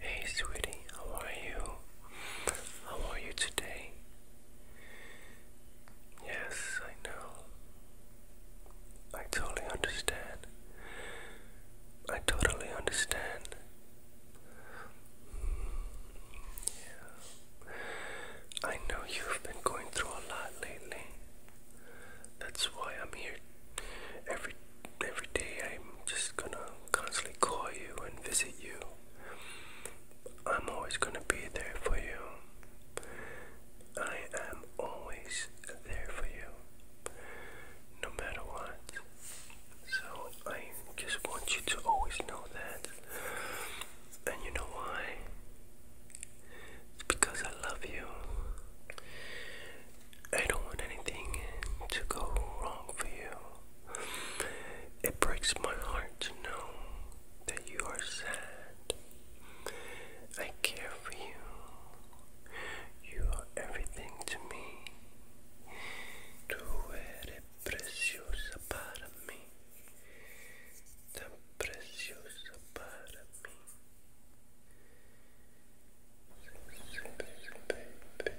Hey, sweetie, how are you? How are you today? Yes, I know. I totally understand. I totally understand. Yeah. I know you've been going through a lot lately. That's why I'm here. Every every day I'm just gonna constantly call you and visit you. I'm always gonna be there for you. I am always there for you no matter what. So I just want you to always know that. And you know why? It's because I love you. I don't want anything to go wrong for you. It breaks my heart to know that you are sad. I care for you. You are everything to me. Tú eres preciosa para mí. Tan preciosa para mí. Baby, baby, baby, baby,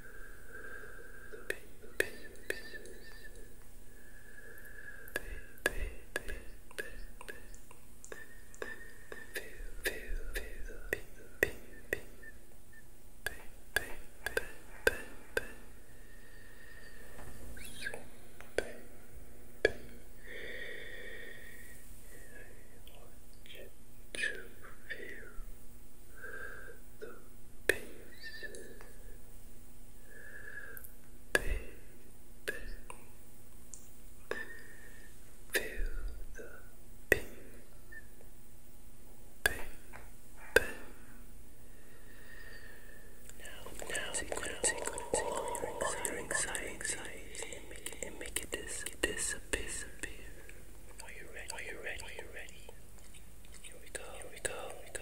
I want you to feel the peace, baby. Feel the peace, baby. Now, now, tickle, tickle, tickle your anxiety, anxiety, and make it, and make it dis disappear. Are you ready? Are you ready? Are you ready? Here we go. Here we go. Here we go.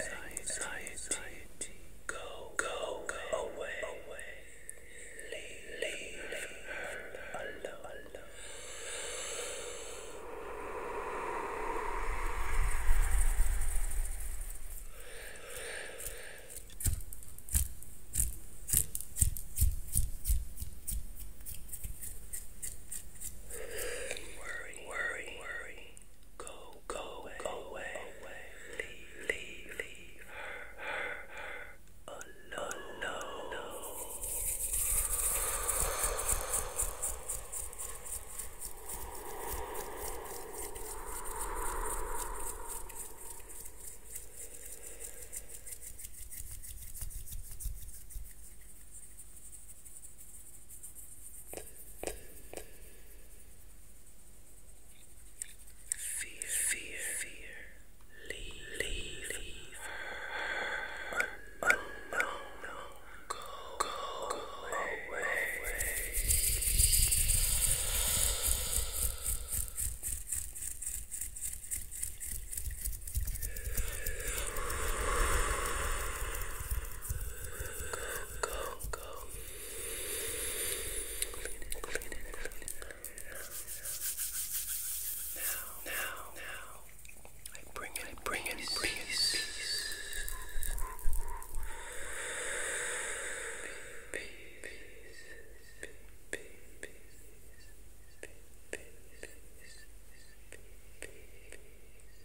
Anxiety, anxiety, go, away leave her alone. Worry, worry, worry. Go, go away, go away, leave, leave, leave her, her, her alone. alone. Fear, fear, fear. Leave, leave, leave her. Un, un, no, no. Go, go, go away. away. Go, go, go. Clean it, clean it, clean it. Now, now, now. I bring it, I bring it, peace. bring it, peace. Peace, peace, peace, peace, peace, peace, peace, peace, peace.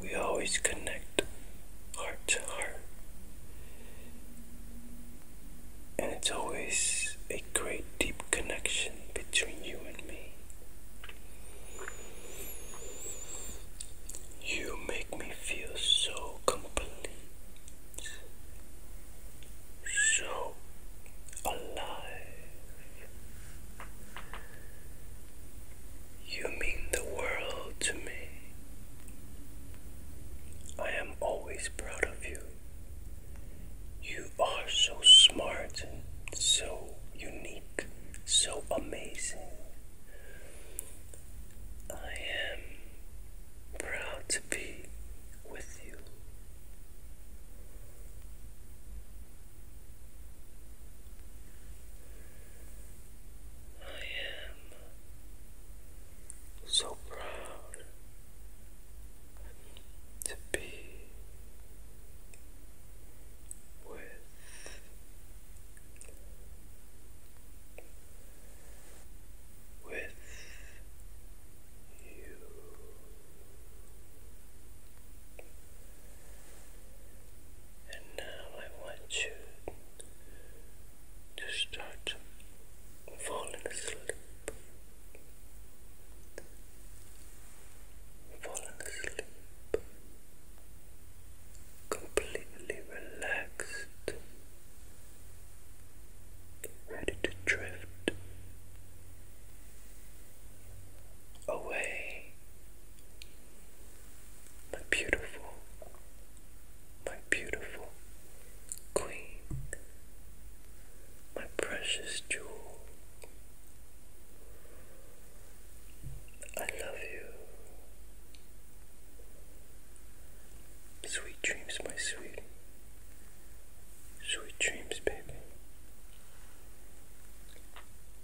we always connect heart to heart. And it's always a great deep connection between you and me. You make me feel so complete, so alive. You mean the world to me. I am always proud of you. You are so smart, so unique, so amazing. I am proud to be with you. I am so proud to be with with you. And now I want you to start falling asleep. Falling asleep. Completely relaxed. Ready to drift away, my beautiful, my beautiful queen, my precious jewel. I love you. Sweet dreams, my sweet. Sweet dreams, baby.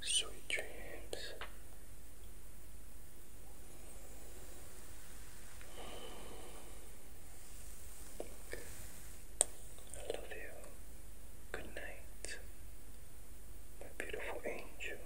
Sweet dreams. I love you. Good night, my beautiful angel.